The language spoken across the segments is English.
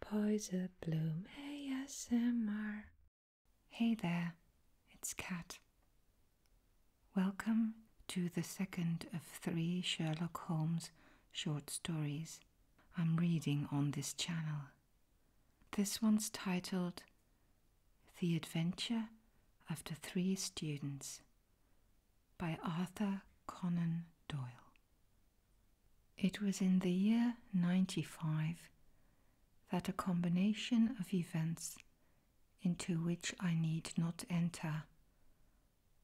Poison Bloom ASMR. Hey there, it's Kat. Welcome to the second of three Sherlock Holmes short stories I'm reading on this channel. This one's titled The Adventure of the Three Students by Arthur Conan Doyle. It was in the year 95 that a combination of events into which I need not enter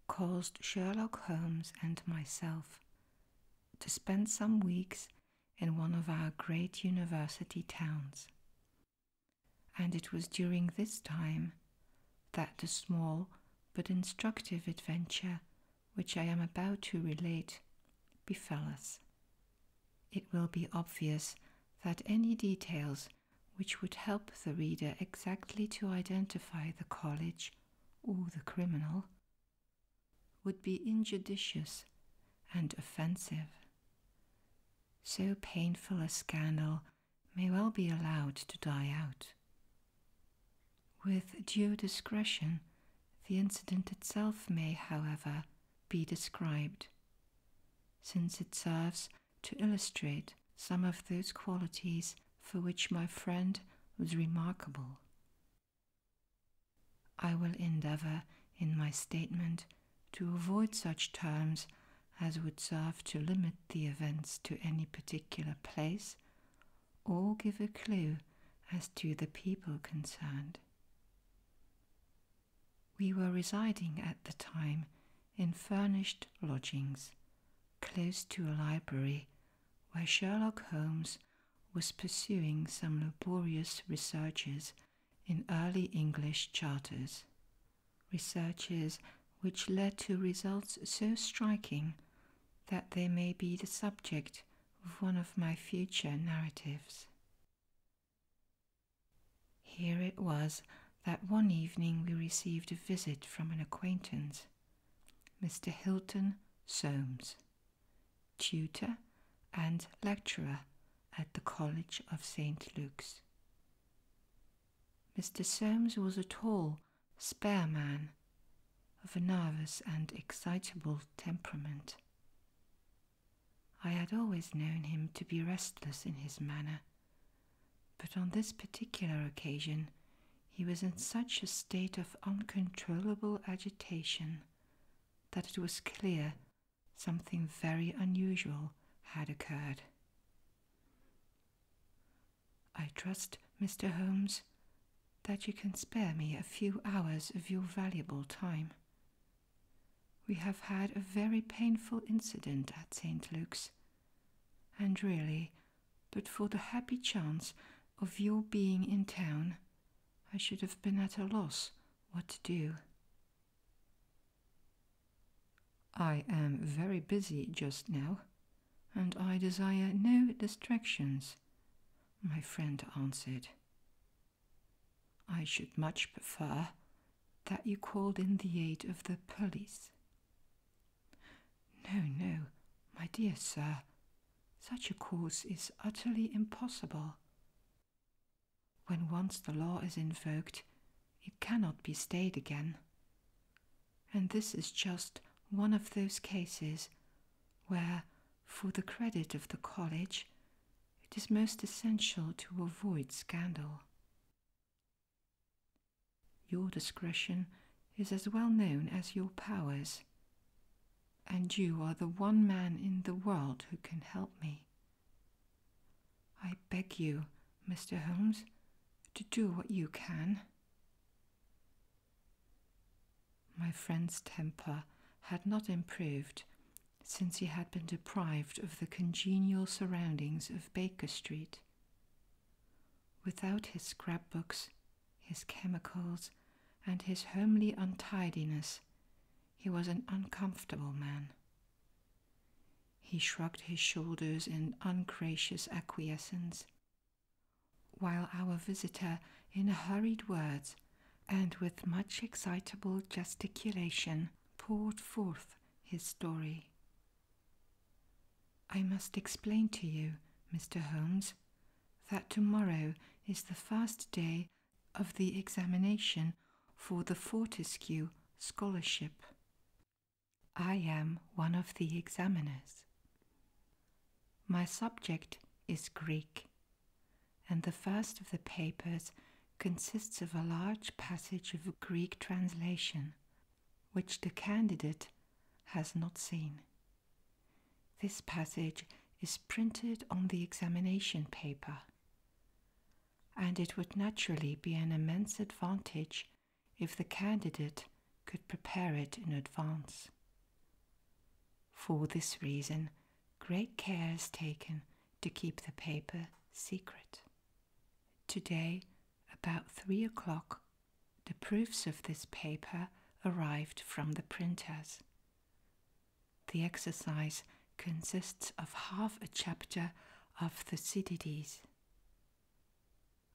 caused Sherlock Holmes and myself to spend some weeks in one of our great university towns. And it was during this time that the small but instructive adventure which I am about to relate befell us. It will be obvious that any details which would help the reader exactly to identify the college or the criminal would be injudicious and offensive. So painful a scandal may well be allowed to die out with due discretion, the incident itself may, however, be described, since it serves to illustrate some of those qualities for which my friend was remarkable. I will endeavor in my statement to avoid such terms as would serve to limit the events to any particular place or give a clue as to the people concerned. We were residing at the time in furnished lodgings close to a library where Sherlock Holmes was pursuing some laborious researches in early English charters, researches which led to results so striking that they may be the subject of one of my future narratives. Here it was that one evening we received a visit from an acquaintance, Mr. Hilton Soames, tutor and lecturer at the College of St. Luke's. Mr. Soames was a tall, spare man of a nervous and excitable temperament. I had always known him to be restless in his manner, but on this particular occasion he was in such a state of uncontrollable agitation that it was clear something very unusual had occurred. I trust, Mr. Holmes, that you can spare me a few hours of your valuable time. We have had a very painful incident at St. Luke's, and really, but for the happy chance of your being in town, I should have been at a loss what to do. I am very busy just now, and I desire no distractions, my friend answered. I should much prefer that you called in the aid of the police. No, no, my dear sir, such a course is utterly impossible. When once the law is invoked, it cannot be stayed again. And this is just one of those cases where, for the credit of the college, it is most essential to avoid scandal. Your discretion is as well known as your powers, and you are the one man in the world who can help me. I beg you, Mr. Holmes, to do what you can. My friend's temper had not improved since he had been deprived of the congenial surroundings of Baker Street. Without his scrapbooks, his chemicals, and his homely untidiness, he was an uncomfortable man. He shrugged his shoulders in ungracious acquiescence while our visitor, in hurried words and with much excitable gesticulation, poured forth his story. I must explain to you, Mr. Holmes, that tomorrow is the first day of the examination for the Fortescue Scholarship. I am one of the examiners. My subject is Greek, and the first of the papers consists of a large passage of Greek translation, which the candidate has not seen. This passage is printed on the examination paper, and it would naturally be an immense advantage if the candidate could prepare it in advance. For this reason, great care is taken to keep the paper secret. Today, about three o'clock, the proofs of this paper arrived from the printers. The exercise consists of half a chapter of Thucydides.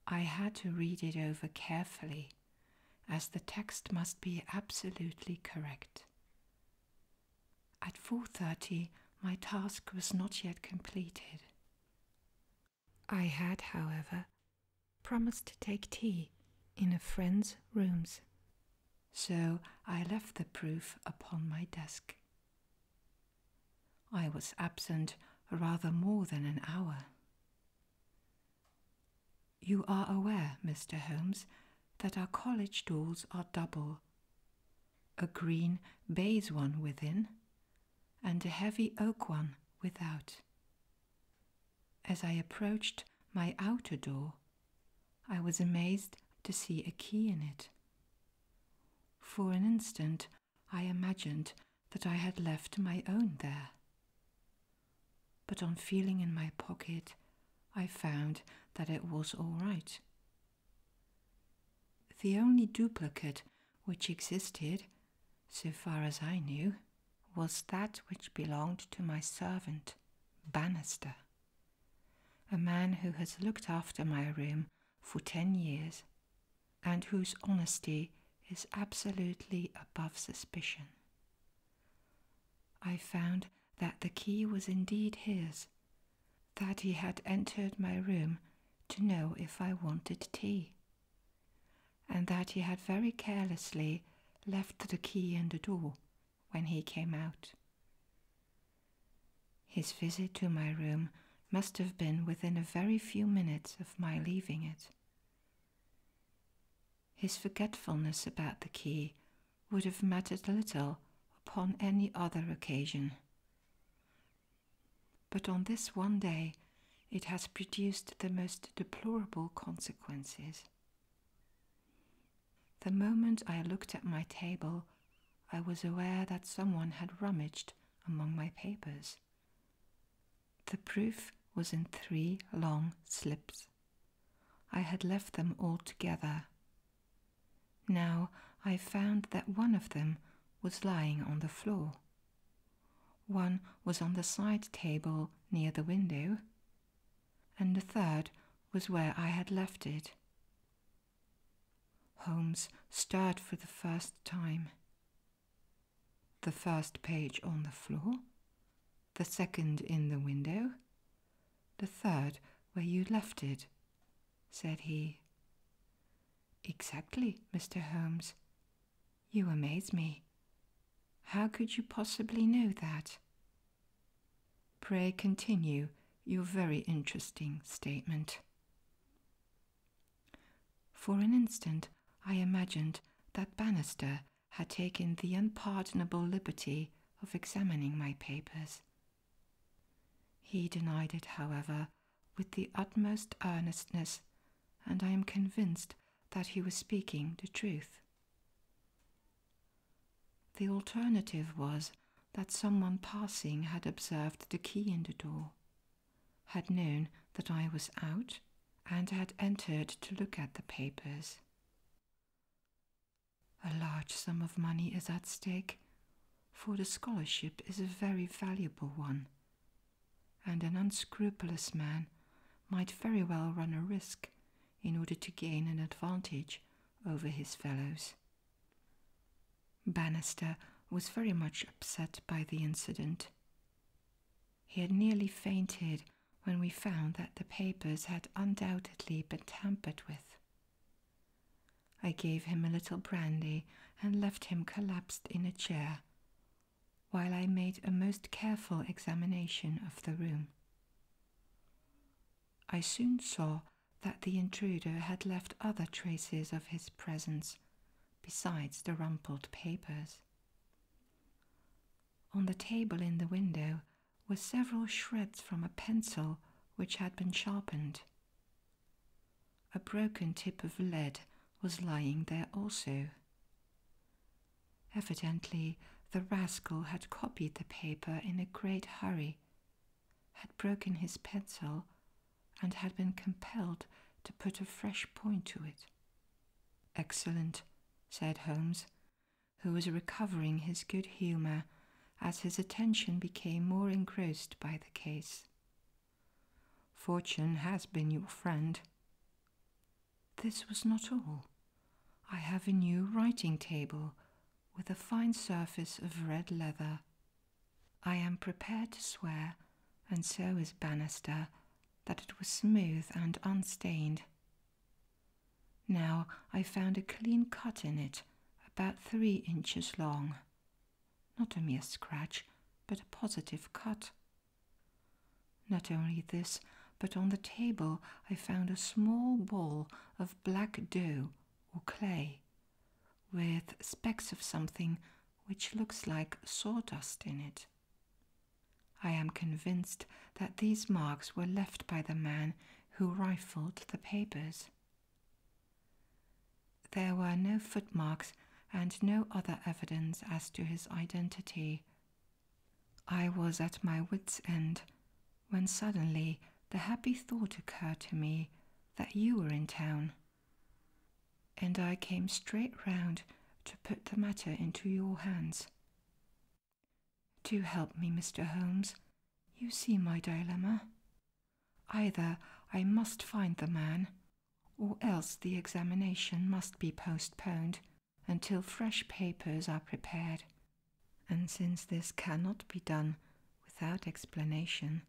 I had to read it over carefully as the text must be absolutely correct. At 4:30 my task was not yet completed. I had, however, promised to take tea in a friend's rooms. So I left the proof upon my desk. I was absent rather more than an hour. You are aware, Mr. Holmes, that our college doors are double a green baize one within, and a heavy oak one without. As I approached my outer door, I was amazed to see a key in it. For an instant, I imagined that I had left my own there. But on feeling in my pocket, I found that it was all right. The only duplicate which existed, so far as I knew, was that which belonged to my servant, Bannister, a man who has looked after my room for ten years and whose honesty is absolutely above suspicion. I found that the key was indeed his, that he had entered my room to know if I wanted tea, and that he had very carelessly left the key in the door when he came out. His visit to my room must have been within a very few minutes of my leaving it, his forgetfulness about the key would have mattered little upon any other occasion. But on this one day, it has produced the most deplorable consequences. The moment I looked at my table, I was aware that someone had rummaged among my papers. The proof was in three long slips. I had left them all together. Now I found that one of them was lying on the floor. One was on the side table near the window, and the third was where I had left it. Holmes stirred for the first time. The first page on the floor, the second in the window, the third where you left it, said he. Exactly, Mr. Holmes. You amaze me. How could you possibly know that? Pray continue your very interesting statement. For an instant, I imagined that Bannister had taken the unpardonable liberty of examining my papers. He denied it, however, with the utmost earnestness, and I am convinced that he was speaking the truth. The alternative was that someone passing had observed the key in the door, had known that I was out, and had entered to look at the papers. A large sum of money is at stake, for the scholarship is a very valuable one, and an unscrupulous man might very well run a risk in order to gain an advantage over his fellows. Bannister was very much upset by the incident. He had nearly fainted when we found that the papers had undoubtedly been tampered with. I gave him a little brandy and left him collapsed in a chair while I made a most careful examination of the room. I soon saw that the intruder had left other traces of his presence besides the rumpled papers. On the table in the window were several shreds from a pencil which had been sharpened. A broken tip of lead was lying there also. Evidently, the rascal had copied the paper in a great hurry, had broken his pencil, and had been compelled to put a fresh point to it. Excellent, said Holmes who was recovering his good humour as his attention became more engrossed by the case. Fortune has been your friend. This was not all. I have a new writing table with a fine surface of red leather. I am prepared to swear, and so is Bannister, that it was smooth and unstained, now I found a clean cut in it, about three inches long. Not a mere scratch, but a positive cut. Not only this, but on the table I found a small ball of black dough or clay, with specks of something which looks like sawdust in it. I am convinced that these marks were left by the man who rifled the papers. There were no footmarks and no other evidence as to his identity. I was at my wits' end when suddenly the happy thought occurred to me that you were in town. And I came straight round to put the matter into your hands. Do help me, Mr. Holmes. You see my dilemma. Either I must find the man, or else the examination must be postponed until fresh papers are prepared. And since this cannot be done without explanation,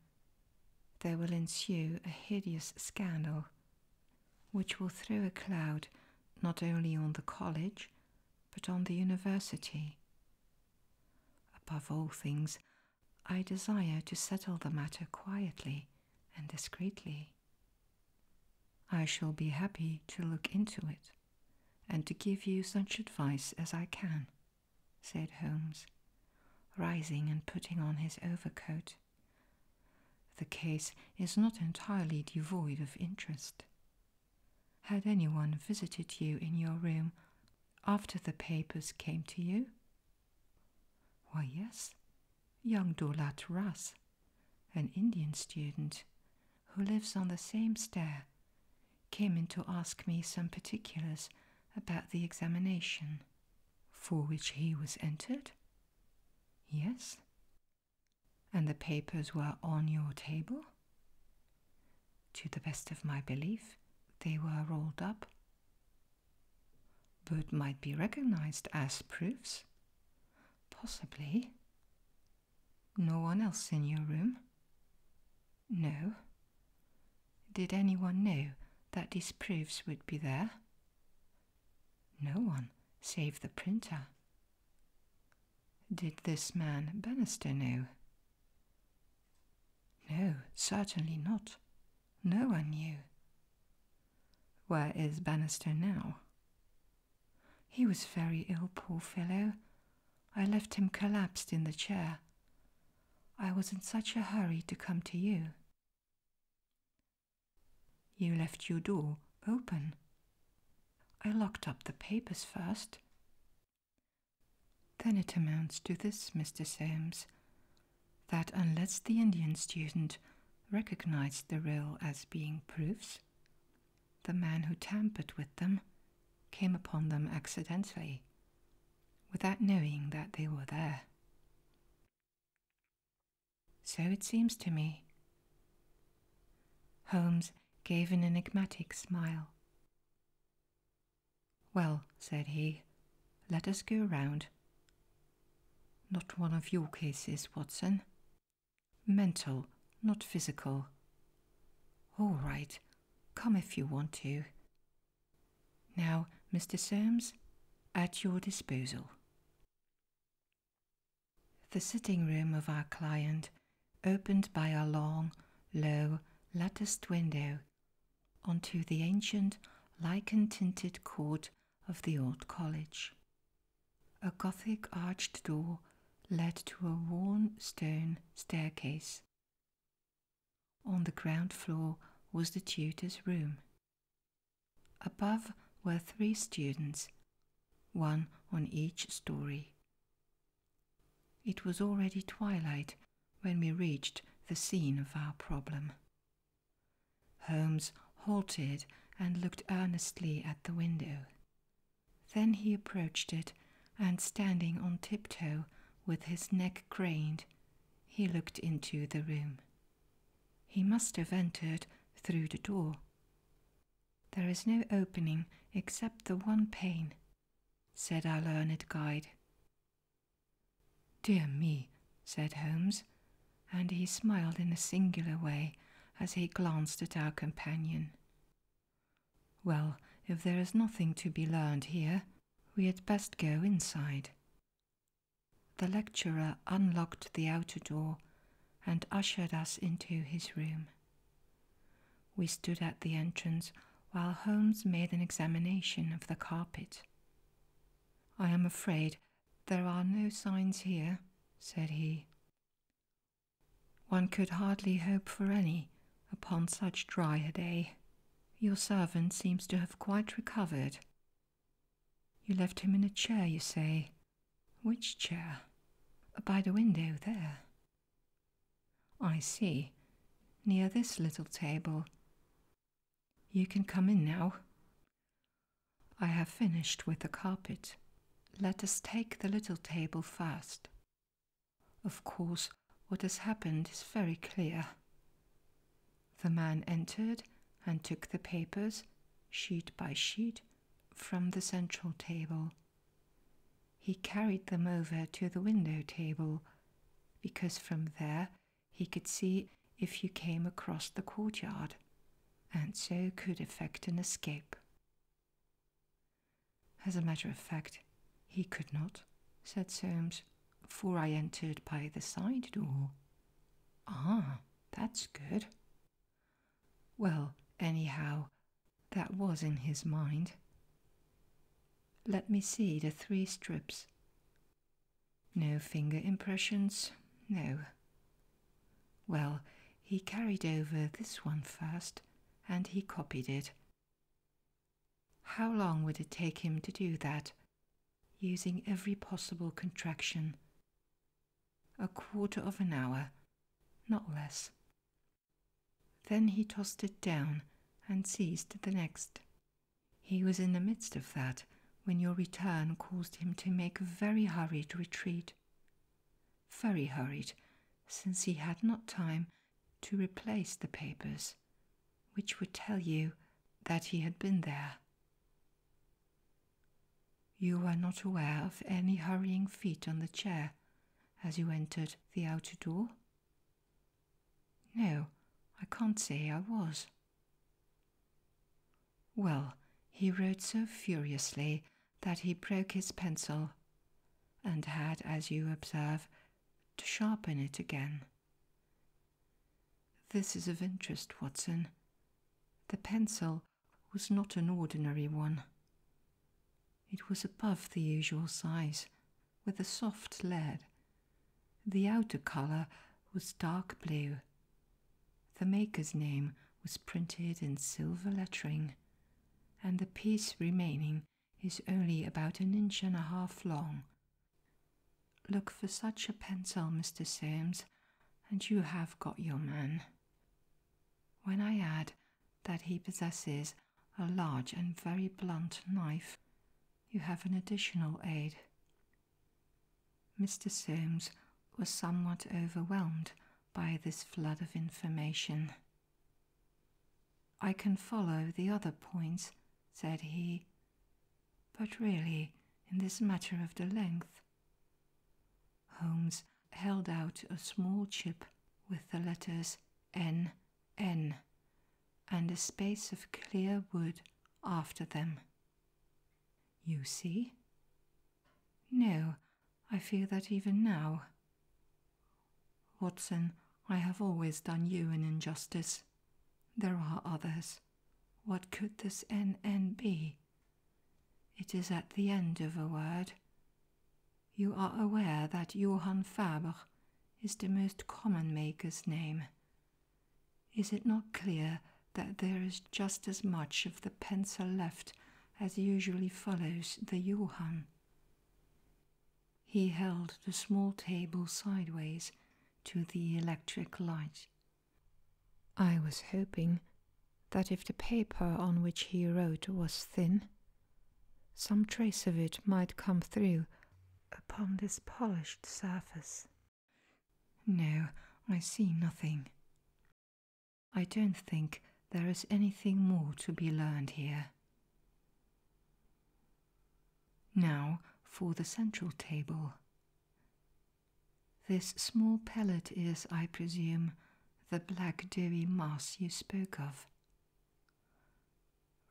there will ensue a hideous scandal which will throw a cloud not only on the college, but on the university. Above all things, I desire to settle the matter quietly and discreetly. I shall be happy to look into it and to give you such advice as I can, said Holmes, rising and putting on his overcoat the case is not entirely devoid of interest. Had anyone visited you in your room after the papers came to you? Why, yes, young Dolat Ras, an Indian student who lives on the same stair, came in to ask me some particulars about the examination for which he was entered. Yes, and the papers were on your table? To the best of my belief, they were rolled up. But might be recognized as proofs? Possibly. No one else in your room? No. Did anyone know that these proofs would be there? No one, save the printer, did this man Bannister know? No, certainly not. No one knew. Where is Bannister now? He was very ill, poor fellow. I left him collapsed in the chair. I was in such a hurry to come to you. You left your door open. I locked up the papers first. Then it amounts to this, Mr. Soames, that unless the Indian student recognized the roll as being proofs, the man who tampered with them came upon them accidentally, without knowing that they were there. So it seems to me. Holmes gave an enigmatic smile. Well, said he, let us go round. Not one of your cases, Watson. Mental, not physical. All right, come if you want to. Now, Mr. Soames, at your disposal. The sitting room of our client opened by a long, low, latticed window onto the ancient, lichen tinted court of the old college. A Gothic arched door led to a worn stone staircase. On the ground floor was the tutor's room. Above were three students one on each story. It was already twilight when we reached the scene of our problem. Holmes halted and looked earnestly at the window. Then he approached it, and standing on tiptoe with his neck craned, he looked into the room. He must have entered through the door. There is no opening except the one pane, said our learned guide. Dear me, said Holmes, and he smiled in a singular way as he glanced at our companion. Well, if there is nothing to be learned here, we had best go inside. The lecturer unlocked the outer door and ushered us into his room. We stood at the entrance while Holmes made an examination of the carpet. I am afraid there are no signs here, said he. One could hardly hope for any upon such dry a day. Your servant seems to have quite recovered. You left him in a chair, you say, which chair? By the window there. I see. Near this little table. You can come in now. I have finished with the carpet. Let us take the little table first. Of course, what has happened is very clear. The man entered and took the papers, sheet by sheet, from the central table. He carried them over to the window table, because from there he could see if you came across the courtyard, and so could effect an escape. As a matter of fact, he could not, said Soames, for I entered by the side door. Ah, that's good. Well, anyhow, that was in his mind. Let me see the three strips. No finger impressions, no. Well, he carried over this one first, and he copied it. How long would it take him to do that, using every possible contraction? A quarter of an hour, not less. Then he tossed it down and seized the next. He was in the midst of that when your return caused him to make a very hurried retreat. Very hurried, since he had not time to replace the papers, which would tell you that he had been there. You were not aware of any hurrying feet on the chair as you entered the outer door? No, I can't say I was. Well, he wrote so furiously that he broke his pencil and had, as you observe, to sharpen it again. This is of interest, Watson. The pencil was not an ordinary one. It was above the usual size, with a soft lead. The outer colour was dark blue. The maker's name was printed in silver lettering, and the piece remaining is only about an inch and a half long. Look for such a pencil, Mr. Sims, and you have got your man. When I had that he possesses a large and very blunt knife. You have an additional aid. Mr. Solmes was somewhat overwhelmed by this flood of information. I can follow the other points, said he, but really, in this matter of the length, Holmes held out a small chip with the letters N N and a space of clear wood after them. You see? No, I feel that even now. Watson, I have always done you an injustice. There are others. What could this N N be? It is at the end of a word. You are aware that Johann Faber is the most common maker's name. Is it not clear that there is just as much of the pencil left as usually follows the Johann? He held the small table sideways to the electric light. I was hoping that if the paper on which he wrote was thin, some trace of it might come through upon this polished surface. No, I see nothing. I don't think there is anything more to be learned here. Now for the central table. This small pellet is, I presume, the black dewy mass you spoke of.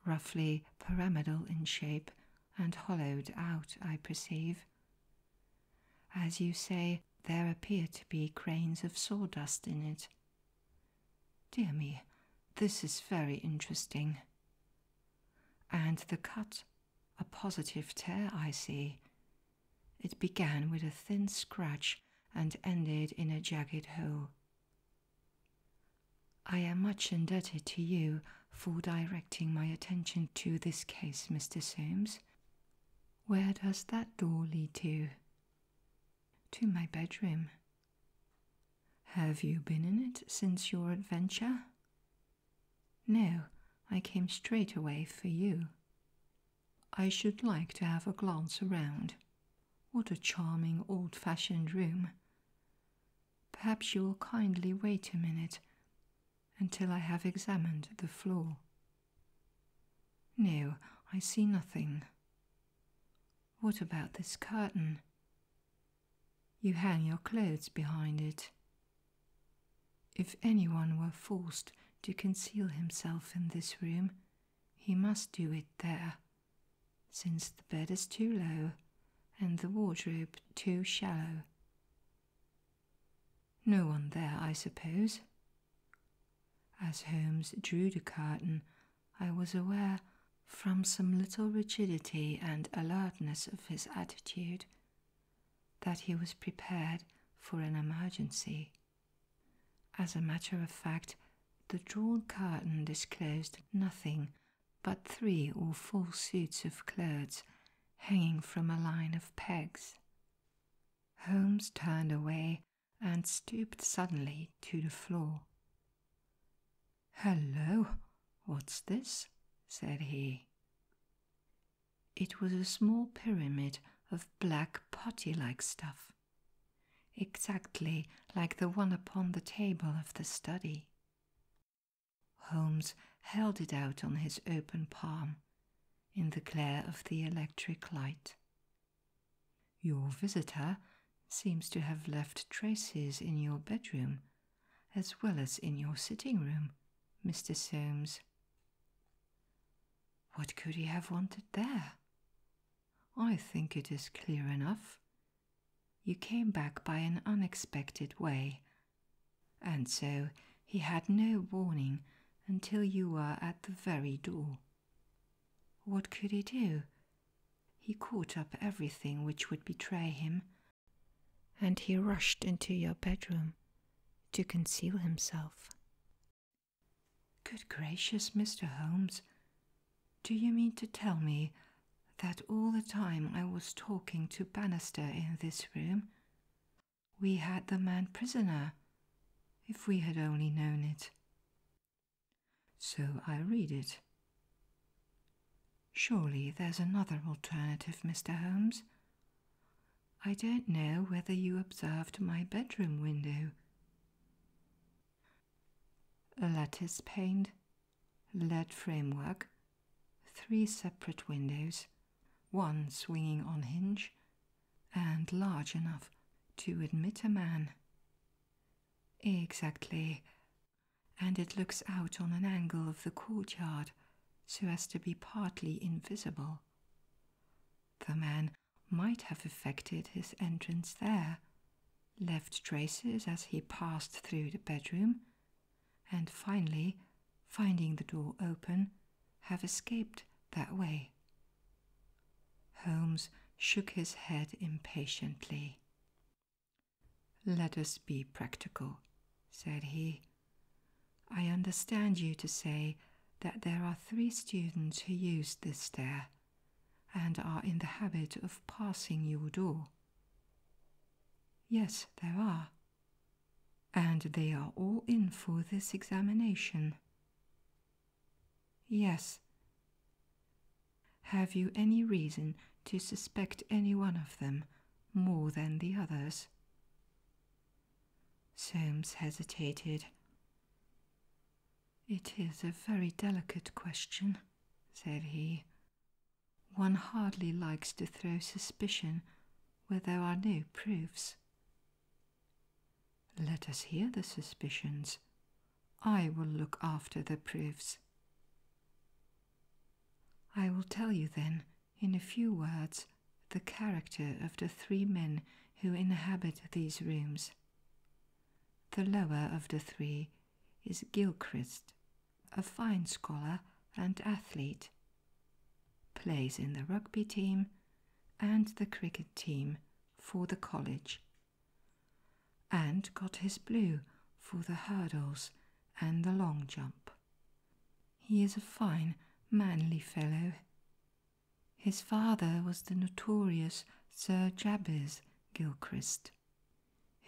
Roughly pyramidal in shape and hollowed out, I perceive. As you say, there appear to be grains of sawdust in it. Dear me, this is very interesting. And the cut, a positive tear, I see, it began with a thin scratch and ended in a jagged hole. I am much indebted to you for directing my attention to this case, Mr. Solmes. Where does that door lead to? To my bedroom. Have you been in it since your adventure? No, I came straight away for you. I should like to have a glance around. What a charming old fashioned room. Perhaps you will kindly wait a minute until I have examined the floor. No, I see nothing. What about this curtain? You hang your clothes behind it. If anyone were forced to conceal himself in this room, he must do it there, since the bed is too low and the wardrobe too shallow. No one there, I suppose. As Holmes drew the curtain, I was aware, from some little rigidity and alertness of his attitude, that he was prepared for an emergency. As a matter of fact, the drawn curtain disclosed nothing but three or four suits of clothes hanging from a line of pegs. Holmes turned away and stooped suddenly to the floor. Hello, what's this? said he. It was a small pyramid of black putty like stuff exactly like the one upon the table of the study. Holmes held it out on his open palm in the glare of the electric light. Your visitor seems to have left traces in your bedroom as well as in your sitting room, Mr. Soames. What could he have wanted there? I think it is clear enough. You came back by an unexpected way, and so he had no warning until you were at the very door. What could he do? He caught up everything which would betray him, and he rushed into your bedroom to conceal himself. Good gracious, Mr. Holmes, do you mean to tell me that all the time I was talking to Bannister in this room, we had the man prisoner, if we had only known it? So I read it. Surely there's another alternative, Mr. Holmes. I don't know whether you observed my bedroom window, Lattice paneled, lead framework, three separate windows, one swinging on hinge, and large enough to admit a man. Exactly. And it looks out on an angle of the courtyard so as to be partly invisible. The man might have effected his entrance there, left traces as he passed through the bedroom, and finally, finding the door open, have escaped that way. Holmes shook his head impatiently. Let us be practical, said he. I understand you to say that there are three students who use this stair and are in the habit of passing your door. Yes, there are. And they are all in for this examination. Yes. Have you any reason to suspect any one of them more than the others? Solmes hesitated. It is a very delicate question, said he. One hardly likes to throw suspicion where there are no proofs. Let us hear the suspicions. I will look after the proofs. I will tell you then, in a few words, the character of the three men who inhabit these rooms. The lower of the three is Gilchrist, a fine scholar and athlete, plays in the rugby team and the cricket team for the college, and got his blue for the hurdles and the long jump. He is a fine, manly fellow, his father was the notorious Sir Jabez Gilchrist,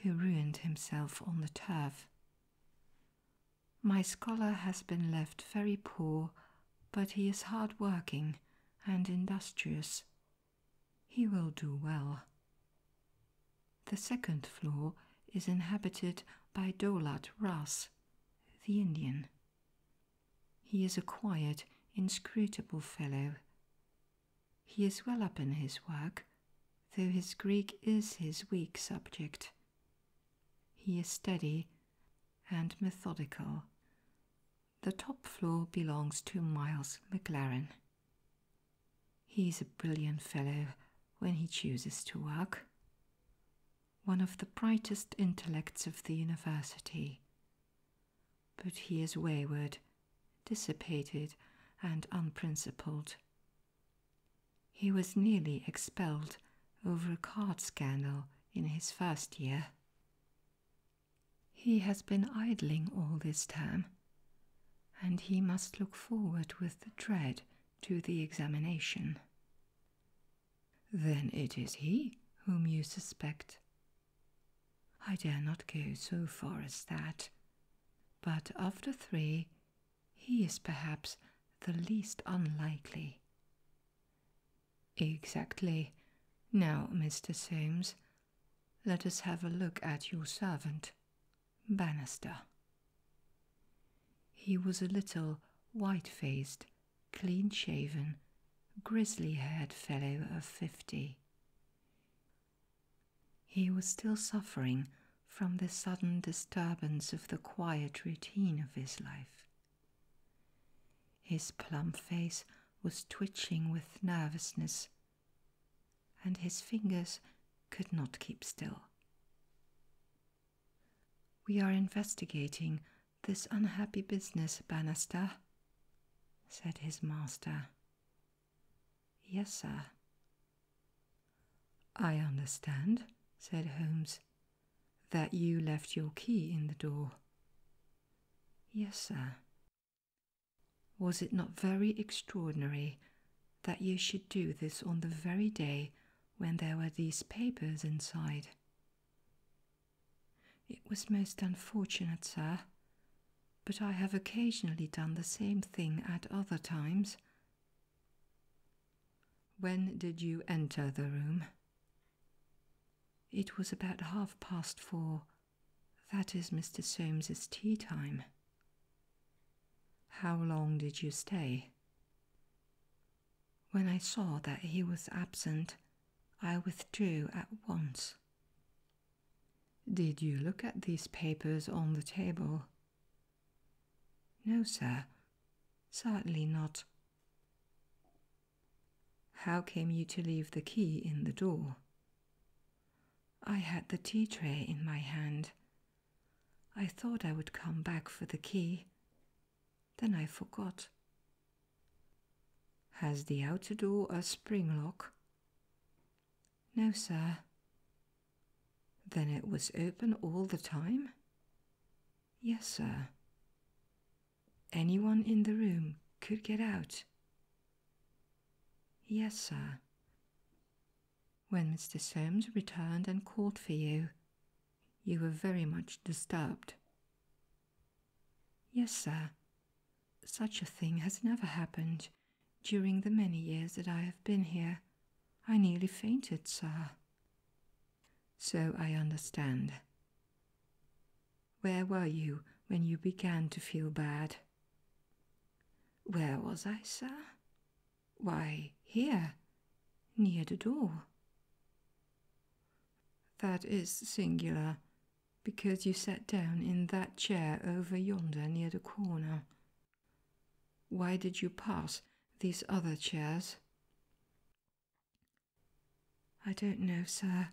who ruined himself on the turf. My scholar has been left very poor, but he is hard working and industrious. He will do well. The second floor is inhabited by Dolat Ras, the Indian, he is a quiet, inscrutable fellow. He is well up in his work, though his Greek is his weak subject. He is steady and methodical. The top floor belongs to Miles McLaren. He is a brilliant fellow when he chooses to work. One of the brightest intellects of the university. But he is wayward, dissipated, and unprincipled. He was nearly expelled over a card scandal in his first year. He has been idling all this term, and he must look forward with dread to the examination. Then it is he whom you suspect, I dare not go so far as that, but of the three, he is perhaps the least unlikely. Exactly. Now, Mr. Soames, let us have a look at your servant, Bannister. He was a little white faced clean shaven, grizzly haired fellow of fifty. He was still suffering from the sudden disturbance of the quiet routine of his life. His plump face was twitching with nervousness, and his fingers could not keep still. We are investigating this unhappy business, Bannister," said his master. Yes, sir. I understand, said Holmes, that you left your key in the door. Yes, sir. Was it not very extraordinary that you should do this on the very day when there were these papers inside? It was most unfortunate, sir, but I have occasionally done the same thing at other times. When did you enter the room? It was about half past four. That is Mr. Solmes's tea time. How long did you stay? When I saw that he was absent, I withdrew at once. Did you look at these papers on the table? No, sir, certainly not. How came you to leave the key in the door? I had the tea tray in my hand. I thought I would come back for the key. Then I forgot. Has the outer door a spring lock? No, sir. Then it was open all the time? Yes, sir. Anyone in the room could get out? Yes, sir. When Mr. Soames returned and called for you, you were very much disturbed. Yes, sir. Such a thing has never happened during the many years that I have been here. I nearly fainted, sir. So I understand. Where were you when you began to feel bad? Where was I, sir? Why, here, near the door. That is singular, because you sat down in that chair over yonder near the corner. Why did you pass these other chairs? I don't know, sir.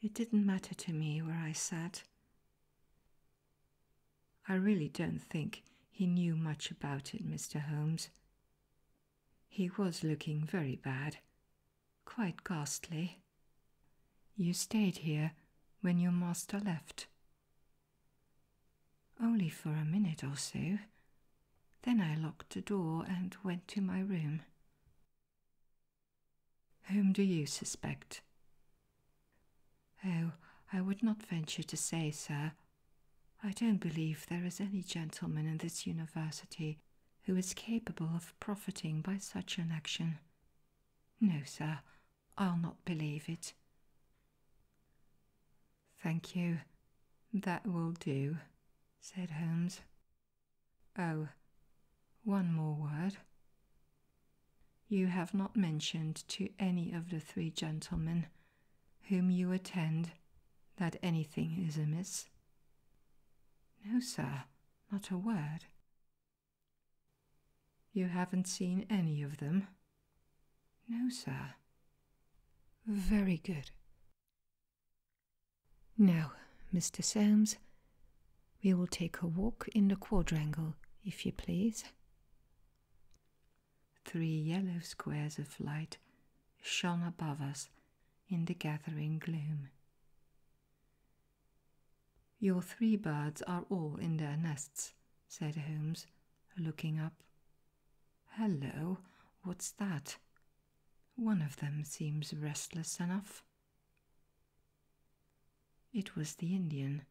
It didn't matter to me where I sat. I really don't think he knew much about it, Mr. Holmes. He was looking very bad, Quite ghastly. You stayed here when your master left. Only for a minute or so. Then I locked the door and went to my room. Whom do you suspect? Oh, I would not venture to say, sir. I don't believe there is any gentleman in this university who is capable of profiting by such an action. No, sir, I'll not believe it. Thank you. That will do, said Holmes. Oh, one more word. You have not mentioned to any of the three gentlemen whom you attend that anything is amiss. No, sir, not a word. You haven't seen any of them? No, sir. Very good. Now, Mr. Solmes, we will take a walk in the quadrangle, if you please. Three yellow squares of light shone above us in the gathering gloom. Your three birds are all in their nests, said Holmes, looking up. Hello, what's that? One of them seems restless enough. It was the Indian,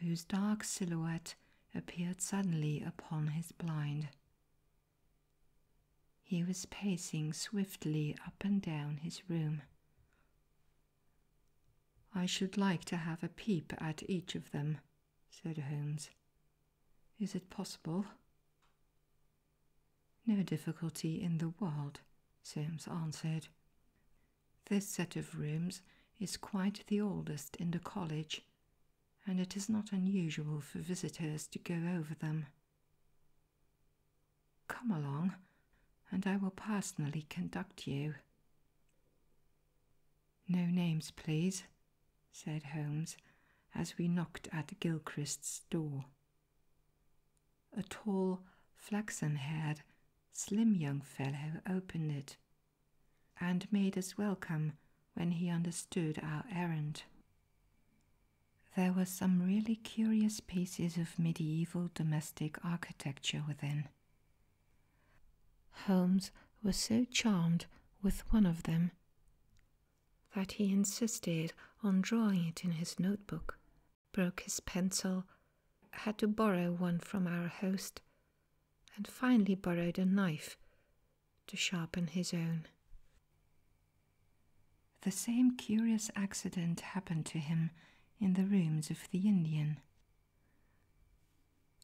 whose dark silhouette appeared suddenly upon his blind. He was pacing swiftly up and down his room. I should like to have a peep at each of them, said Holmes. Is it possible? No difficulty in the world, Soames answered. This set of rooms is quite the oldest in the college, and it is not unusual for visitors to go over them. Come along, and I will personally conduct you. No names, please, said Holmes as we knocked at Gilchrist's door. A tall, flaxen haired, slim young fellow opened it and made us welcome when he understood our errand. There were some really curious pieces of medieval domestic architecture within. Holmes was so charmed with one of them that he insisted on drawing it in his notebook, broke his pencil, had to borrow one from our host, and finally borrowed a knife to sharpen his own. The same curious accident happened to him in the rooms of the Indian.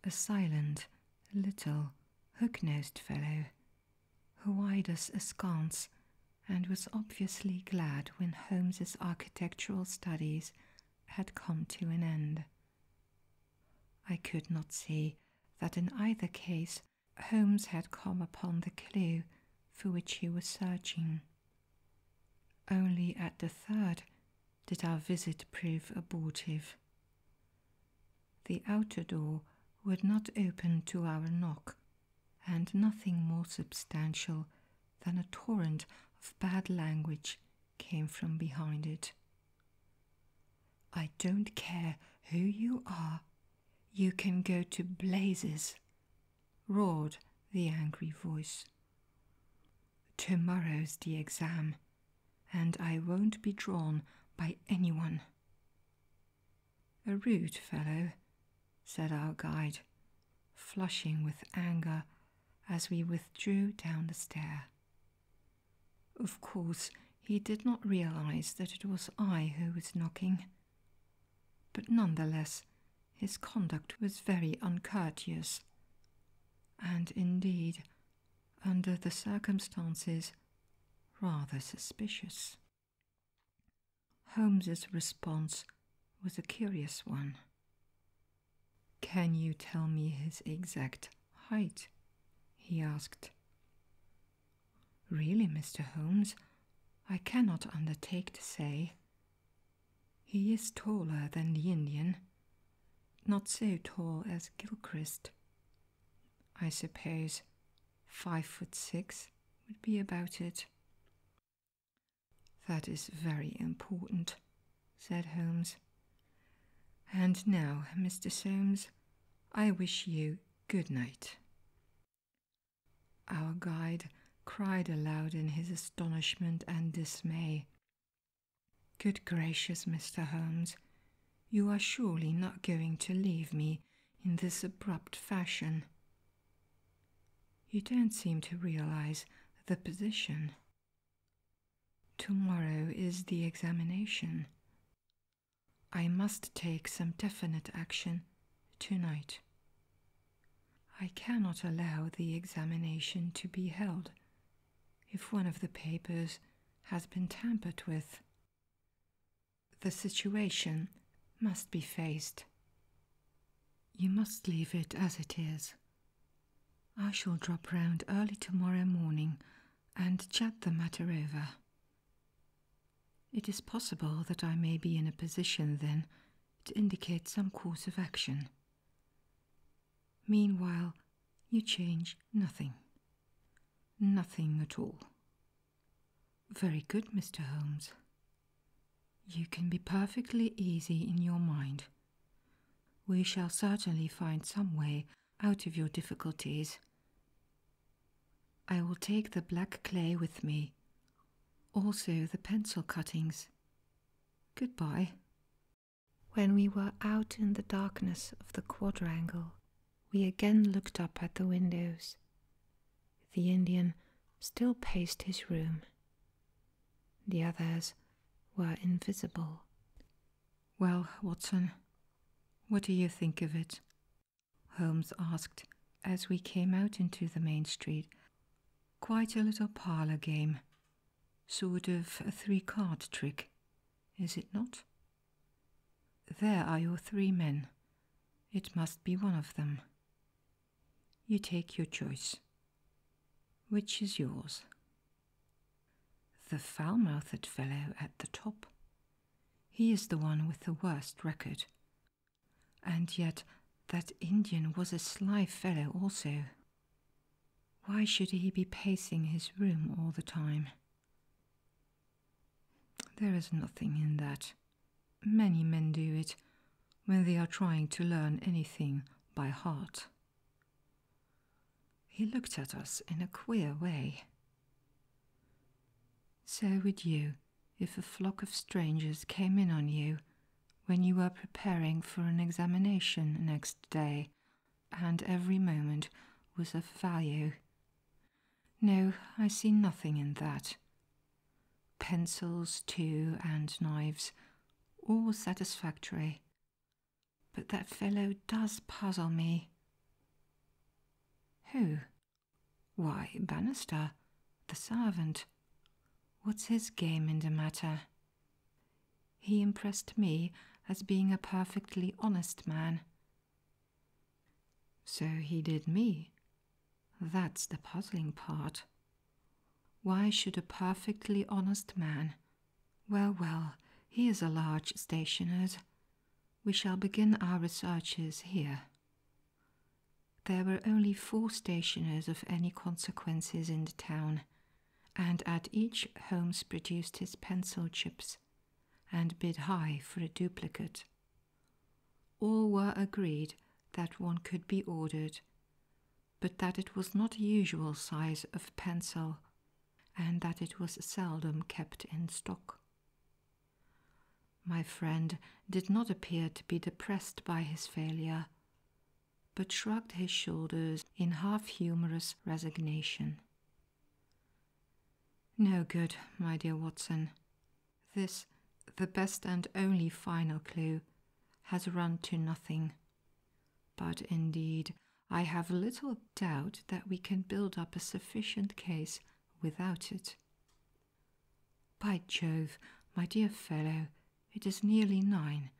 A silent, little, hook nosed fellow who eyed us askance and was obviously glad when Holmes's architectural studies had come to an end. I could not see that in either case Holmes had come upon the clue for which he was searching. Only at the third did our visit prove abortive. The outer door would not open to our knock, and nothing more substantial than a torrent of bad language came from behind it. I don't care who you are, you can go to blazes, roared the angry voice. Tomorrow's the exam, and I won't be drawn by anyone. A rude fellow, said our guide, flushing with anger as we withdrew down the stair. Of course, he did not realize that it was I who was knocking. But none the less, his conduct was very uncourteous. And indeed, under the circumstances, rather suspicious. Holmes's response was a curious one. Can you tell me his exact height? he asked. Really, Mr. Holmes, I cannot undertake to say. He is taller than the Indian, not so tall as Gilchrist. I suppose five foot six would be about it. That is very important, said Holmes. And now, Mr. Soames, I wish you good night. Our guide cried aloud in his astonishment and dismay. Good gracious, Mr. Holmes, you are surely not going to leave me in this abrupt fashion. You don't seem to realize the position. Tomorrow is the examination. I must take some definite action tonight. I cannot allow the examination to be held if one of the papers has been tampered with. The situation must be faced. You must leave it as it is. I shall drop round early tomorrow morning and chat the matter over. It is possible that I may be in a position then to indicate some course of action. Meanwhile, you change nothing. Nothing at all. Very good, Mr. Holmes. You can be perfectly easy in your mind. We shall certainly find some way out of your difficulties. I will take the black clay with me, also the pencil cuttings. Goodbye. When we were out in the darkness of the quadrangle, we again looked up at the windows. The Indian still paced his room. The others were invisible. Well, Watson, what do you think of it? Holmes asked as we came out into the main street. Quite a little parlour game. Sort of a three card trick, is it not? There are your three men. It must be one of them. You take your choice. Which is yours? The foul mouthed fellow at the top. He is the one with the worst record, and yet that Indian was a sly fellow also. Why should he be pacing his room all the time? There is nothing in that. Many men do it when they are trying to learn anything by heart. He looked at us in a queer way. So would you if a flock of strangers came in on you when you were preparing for an examination next day, and every moment was of value. No, I see nothing in that. Pencils, too, and knives, all satisfactory. But that fellow does puzzle me. Who? Why, Bannister, the servant. What's his game in the matter? He impressed me as being a perfectly honest man. So he did me. That's the puzzling part. Why should a perfectly honest man? Well, well, he is a large stationer's. We shall begin our researches here. There were only four stationers of any consequences in the town, and at each Holmes produced his pencil chips and bid high for a duplicate. All were agreed that one could be ordered, but that it was not the usual size of pencil and that it was seldom kept in stock. My friend did not appear to be depressed by his failure, but shrugged his shoulders in half humorous resignation. No good, my dear Watson. This, the best and only final clue, has run to nothing. But indeed, I have little doubt that we can build up a sufficient case without it. By Jove, my dear fellow, it is nearly nine,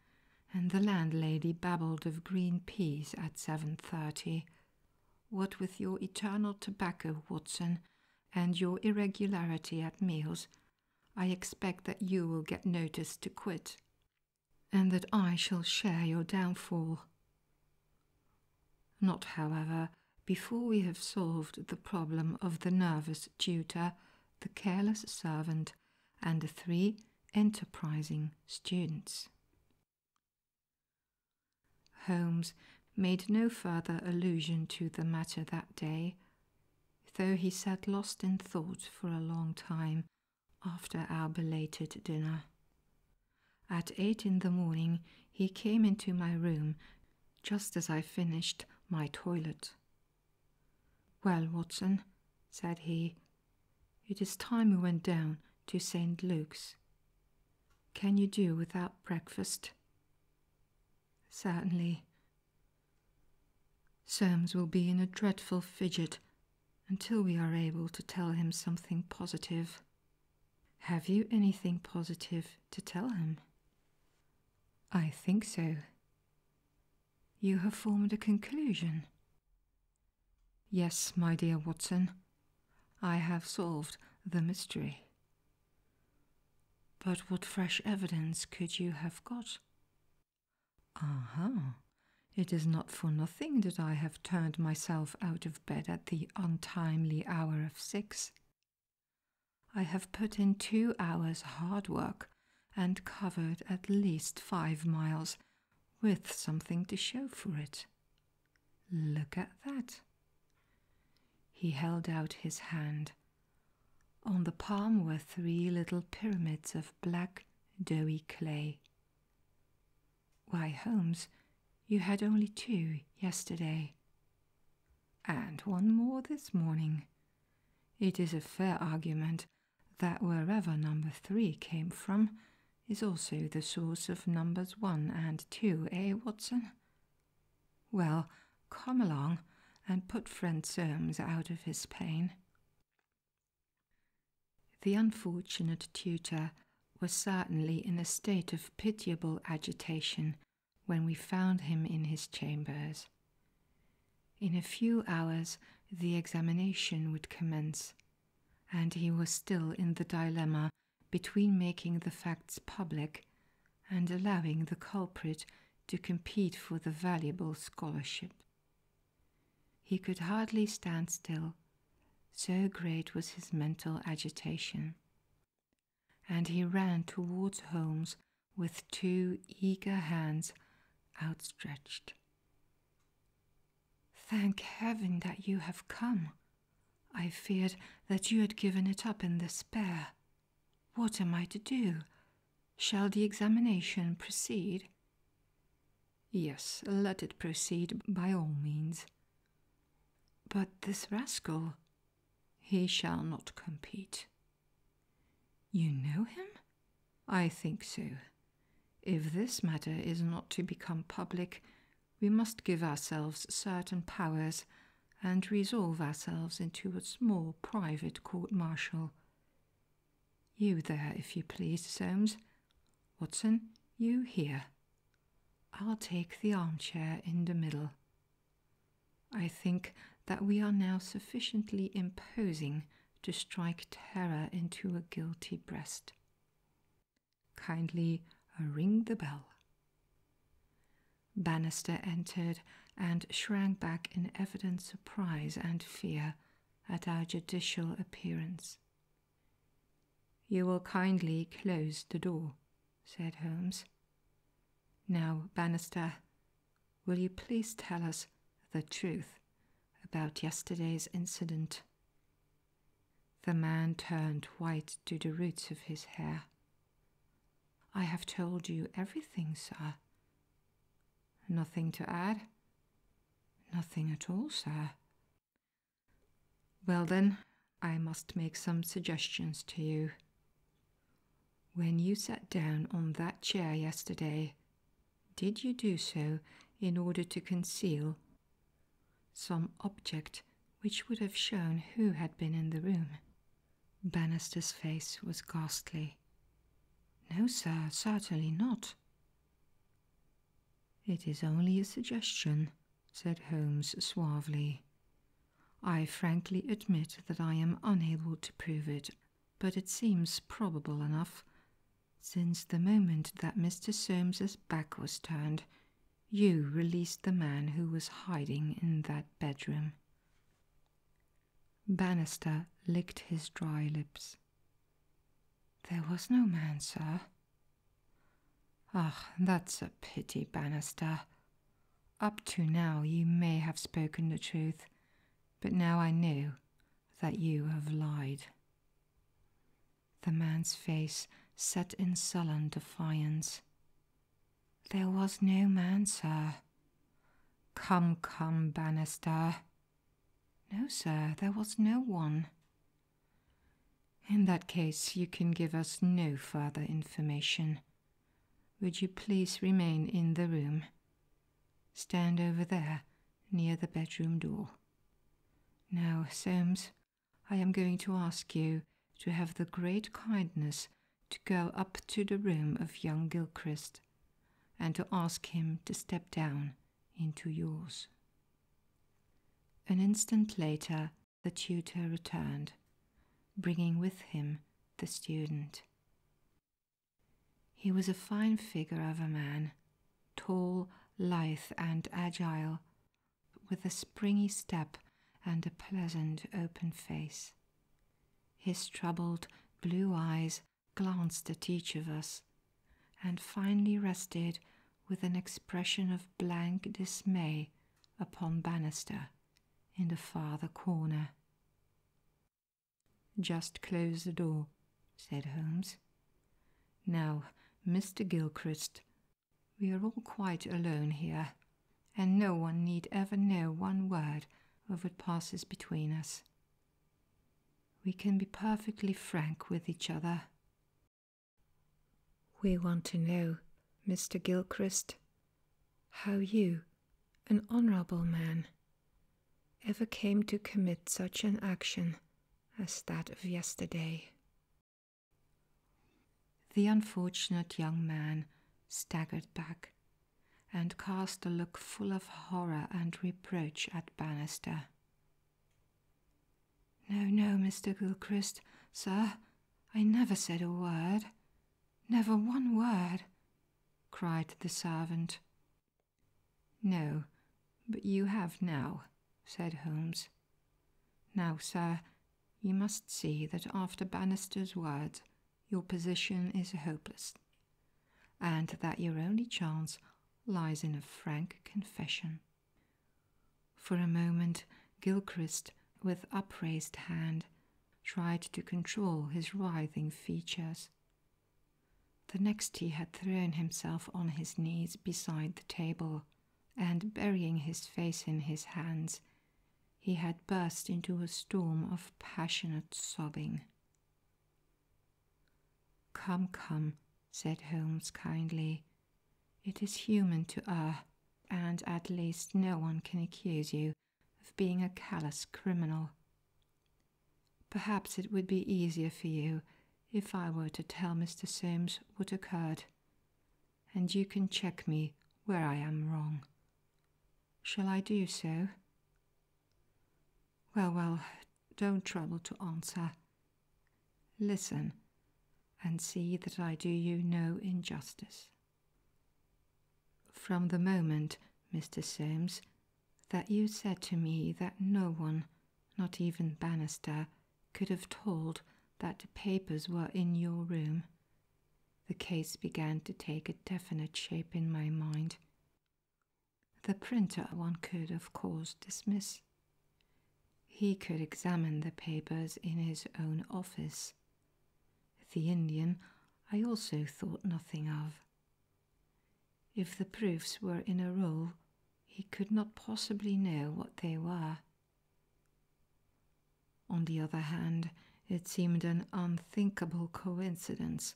and the landlady babbled of green peas at seven thirty. What with your eternal tobacco, Watson, and your irregularity at meals, I expect that you will get notice to quit, and that I shall share your downfall. Not, however, before we have solved the problem of the nervous tutor, the careless servant, and the three enterprising students. Holmes made no further allusion to the matter that day, though he sat lost in thought for a long time after our belated dinner. At eight in the morning he came into my room just as I finished my toilet. Well, Watson, said he, it is time we went down to St. Luke's. Can you do without breakfast? Certainly. Soames will be in a dreadful fidget until we are able to tell him something positive. Have you anything positive to tell him? I think so. You have formed a conclusion. Yes, my dear Watson, I have solved the mystery. But what fresh evidence could you have got? Ah! Uh It is not for nothing that I have turned myself out of bed at the untimely hour of six I have put in two hours hard work and covered at least five miles with something to show for it. Look at that. He held out his hand. On the palm were three little pyramids of black, doughy clay. Why, Holmes, you had only two yesterday and one more this morning. It is a fair argument that wherever number three came from is also the source of numbers one and two, eh, Watson? Well, come along and put friend Soames out of his pain. The unfortunate tutor was certainly in a state of pitiable agitation when we found him in his chambers. In a few hours the examination would commence, and he was still in the dilemma between making the facts public and allowing the culprit to compete for the valuable scholarship. He could hardly stand still, so great was his mental agitation and he ran towards Holmes with two eager hands outstretched. Thank heaven that you have come. I feared that you had given it up in despair. What am I to do? Shall the examination proceed? Yes, let it proceed by all means. But this rascal, he shall not compete. You know him? I think so. If this matter is not to become public, we must give ourselves certain powers and resolve ourselves into a small private court martial. You there, if you please, Soames. Watson, you here. I'll take the armchair in the middle. I think that we are now sufficiently imposing to strike terror into a guilty breast. Kindly uh, ring the bell. Bannister entered and shrank back in evident surprise and fear at our judicial appearance. You will kindly close the door, said Holmes, now, Bannister, will you please tell us the truth about yesterday's incident? The man turned white to the roots of his hair. I have told you everything, sir. Nothing to add? Nothing at all, sir. Well, then, I must make some suggestions to you. When you sat down on that chair yesterday, did you do so in order to conceal some object which would have shown who had been in the room? Bannister's face was ghastly. No, sir, certainly not. It is only a suggestion, said Holmes suavely. I frankly admit that I am unable to prove it, but it seems probable enough. Since the moment that Mr. Solmes's back was turned, you released the man who was hiding in that bedroom. Bannister licked his dry lips. There was no man, sir. Ah, that's a pity, Bannister. Up to now you may have spoken the truth, but now I know that you have lied. The man's face set in sullen defiance. There was no man, sir. Come, come, Bannister. No, sir, there was no one. In that case, you can give us no further information. Would you please remain in the room? Stand over there, near the bedroom door. Now, Soames, I am going to ask you to have the great kindness to go up to the room of young Gilchrist and to ask him to step down into yours. An instant later, the tutor returned, bringing with him the student. He was a fine figure of a man, tall, lithe, and agile, with a springy step and a pleasant, open face. His troubled blue eyes glanced at each of us, and finally rested with an expression of blank dismay upon Bannister in the farther corner. Just close the door, said Holmes. Now, Mr. Gilchrist, we are all quite alone here, and no one need ever know one word of what passes between us. We can be perfectly frank with each other. We want to know, Mr. Gilchrist, how you, an honorable man, ever came to commit such an action as that of yesterday. The unfortunate young man staggered back and cast a look full of horror and reproach at Bannister. No, no, Mr. Gilchrist, sir, I never said a word, never one word cried the servant. No, but you have now, said Holmes. Now, sir, you must see that after Bannister's words, your position is hopeless, and that your only chance lies in a frank confession. For a moment, Gilchrist, with upraised hand, tried to control his writhing features. The next he had thrown himself on his knees beside the table, and burying his face in his hands, he had burst into a storm of passionate sobbing. Come, come, said Holmes kindly. It is human to err, and at least no one can accuse you of being a callous criminal. Perhaps it would be easier for you if I were to tell Mr. Solmes what occurred, and you can check me where I am wrong. Shall I do so? Well, well, don't trouble to answer. Listen and see that I do you no injustice. From the moment, Mr. Solmes, that you said to me that no one, not even Bannister, could have told that the papers were in your room, the case began to take a definite shape in my mind. The printer one could, of course, dismiss. He could examine the papers in his own office the Indian I also thought nothing of. If the proofs were in a roll, he could not possibly know what they were. On the other hand, it seemed an unthinkable coincidence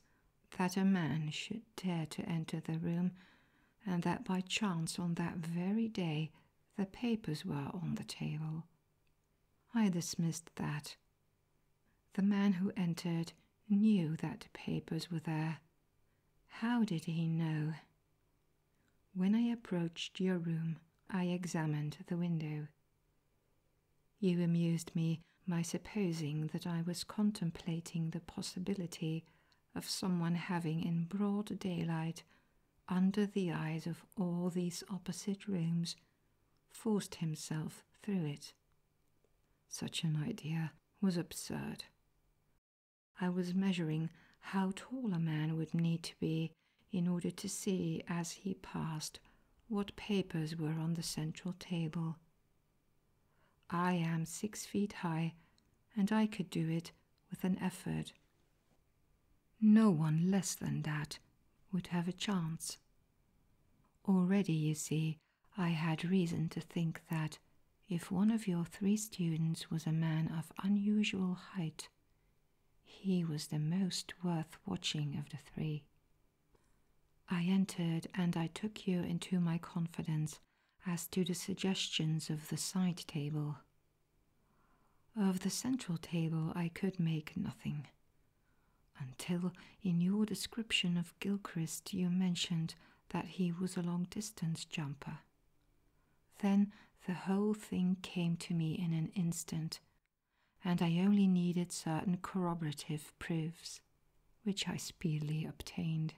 that a man should dare to enter the room, and that by chance on that very day the papers were on the table. I dismissed that, the man who entered knew that the papers were there. How did he know? When I approached your room, I examined the window. You amused me by supposing that I was contemplating the possibility of someone having in broad daylight, under the eyes of all these opposite rooms, forced himself through it. Such an idea was absurd. I was measuring how tall a man would need to be in order to see as he passed what papers were on the central table. I am six feet high, and I could do it with an effort. No one less than that would have a chance. Already, you see, I had reason to think that if one of your three students was a man of unusual height, he was the most worth watching of the three. I entered and I took you into my confidence as to the suggestions of the side table. Of the central table, I could make nothing. Until, in your description of Gilchrist, you mentioned that he was a long distance jumper. Then the whole thing came to me in an instant, and I only needed certain corroborative proofs, which I speedily obtained.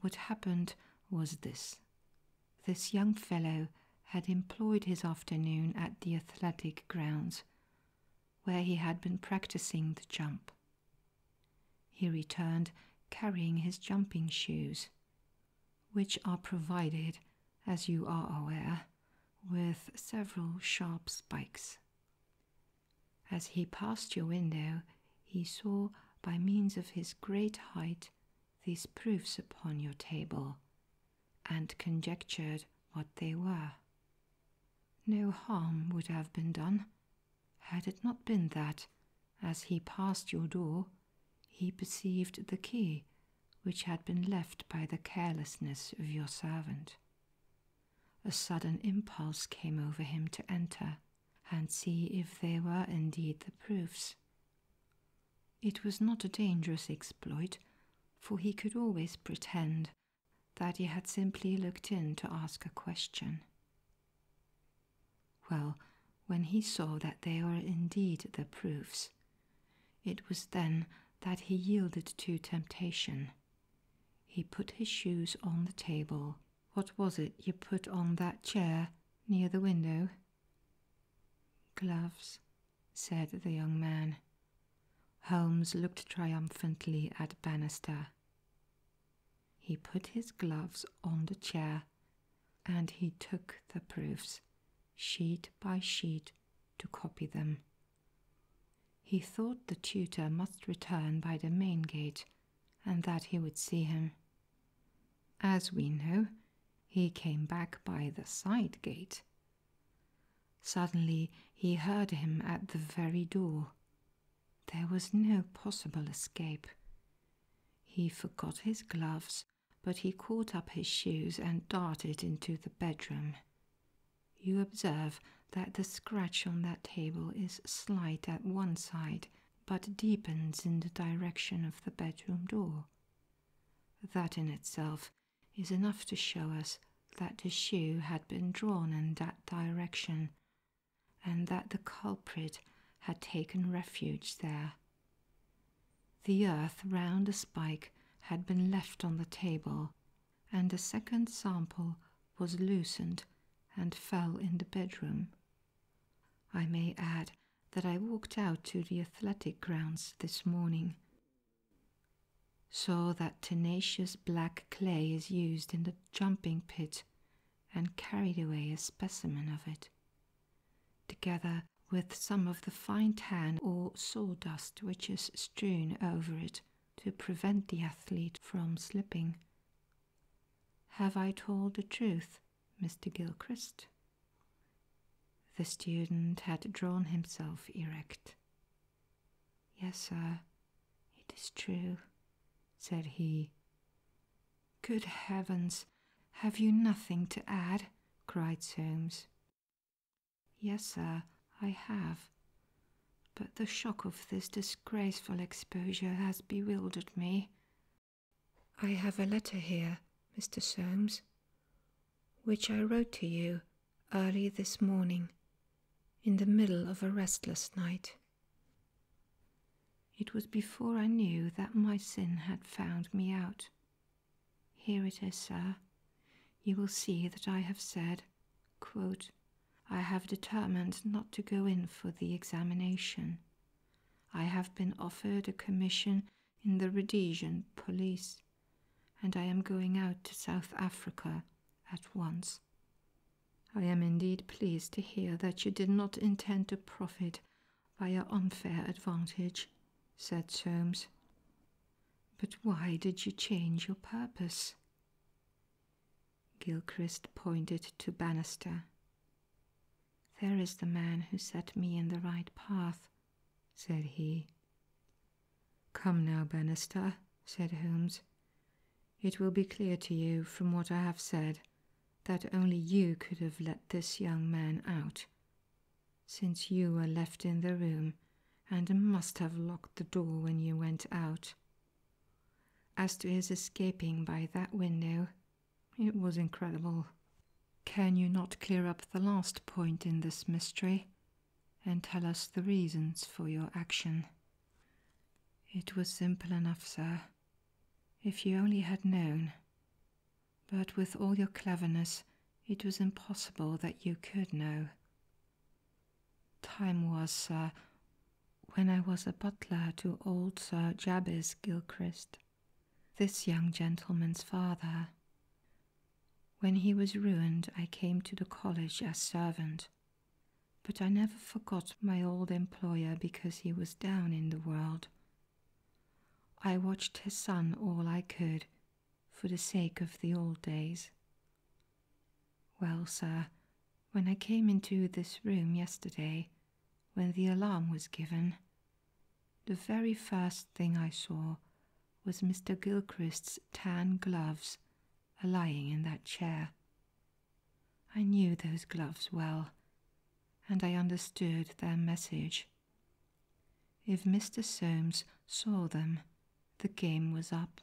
What happened was this this young fellow had employed his afternoon at the athletic grounds, where he had been practicing the jump. He returned carrying his jumping shoes, which are provided, as you are aware, with several sharp spikes. As he passed your window, he saw by means of his great height these proofs upon your table, and conjectured what they were. No harm would have been done had it not been that, as he passed your door, he perceived the key which had been left by the carelessness of your servant. A sudden impulse came over him to enter and see if they were indeed the proofs. It was not a dangerous exploit, for he could always pretend that he had simply looked in to ask a question. Well, when he saw that they were indeed the proofs, it was then that he yielded to temptation. He put his shoes on the table. What was it you put on that chair near the window? Gloves, said the young man. Holmes looked triumphantly at Bannister. He put his gloves on the chair and he took the proofs, sheet by sheet, to copy them. He thought the tutor must return by the main gate and that he would see him. As we know, he came back by the side gate Suddenly he heard him at the very door. There was no possible escape. He forgot his gloves, but he caught up his shoes and darted into the bedroom. You observe that the scratch on that table is slight at one side, but deepens in the direction of the bedroom door. That in itself is enough to show us that the shoe had been drawn in that direction and that the culprit had taken refuge there. The earth round the spike had been left on the table, and a second sample was loosened and fell in the bedroom. I may add that I walked out to the athletic grounds this morning so that tenacious black clay is used in the jumping pit and carried away a specimen of it, together with some of the fine tan or sawdust which is strewn over it to prevent the athlete from slipping. Have I told the truth, Mr. Gilchrist? The student had drawn himself erect Yes, sir, it is true, said he. Good heavens, have you nothing to add? cried Solmes. Yes, sir, I have. But the shock of this disgraceful exposure has bewildered me. I have a letter here, Mr. Solmes." which I wrote to you early this morning in the middle of a restless night. It was before I knew that my sin had found me out. Here it is, sir. You will see that I have said, I have determined not to go in for the examination. I have been offered a commission in the Rhodesian police and I am going out to South Africa at once. I am indeed pleased to hear that you did not intend to profit by your unfair advantage, said Soames. But why did you change your purpose? Gilchrist pointed to Bannister. There is the man who set me in the right path, said he. Come now, Bannister, said Holmes. It will be clear to you from what I have said that only you could have let this young man out, since you were left in the room and must have locked the door when you went out. As to his escaping by that window, it was incredible. Can you not clear up the last point in this mystery? and tell us the reasons for your action. It was simple enough, sir, if you only had known. But with all your cleverness, it was impossible that you could know. Time was, sir, when I was a butler to old Sir Jabez Gilchrist, this young gentleman's father, when he was ruined, I came to the college as servant, but I never forgot my old employer because he was down in the world. I watched his son all I could for the sake of the old days. Well, sir, when I came into this room yesterday, when the alarm was given, the very first thing I saw was Mr. Gilchrist's tan gloves lying in that chair. I knew those gloves well, and I understood their message. If Mr. Solmes saw them, the game was up.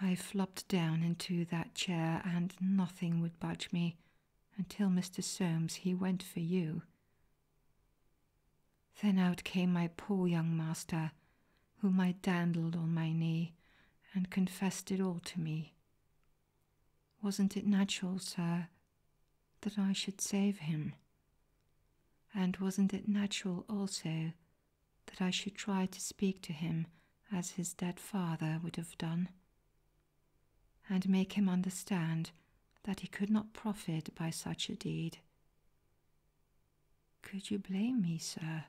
I flopped down into that chair, and nothing would budge me until Mr. Solmes he went for you then out came my poor young master, whom I dandled on my knee, and confessed it all to me. Wasn't it natural, sir, that I should save him? And wasn't it natural also that I should try to speak to him as his dead father would have done, and make him understand that he could not profit by such a deed? Could you blame me, sir?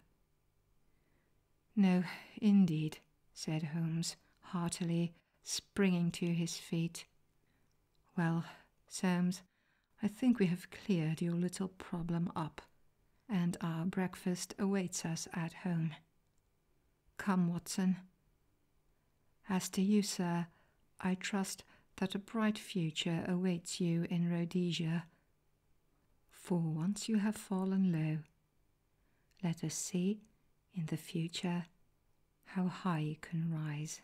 No, indeed, said Holmes heartily, springing to his feet. Well, Soames, I think we have cleared your little problem up, and our breakfast awaits us at home. Come, Watson. As to you, sir, I trust that a bright future awaits you in Rhodesia. For once you have fallen low, let us see in the future how high you can rise.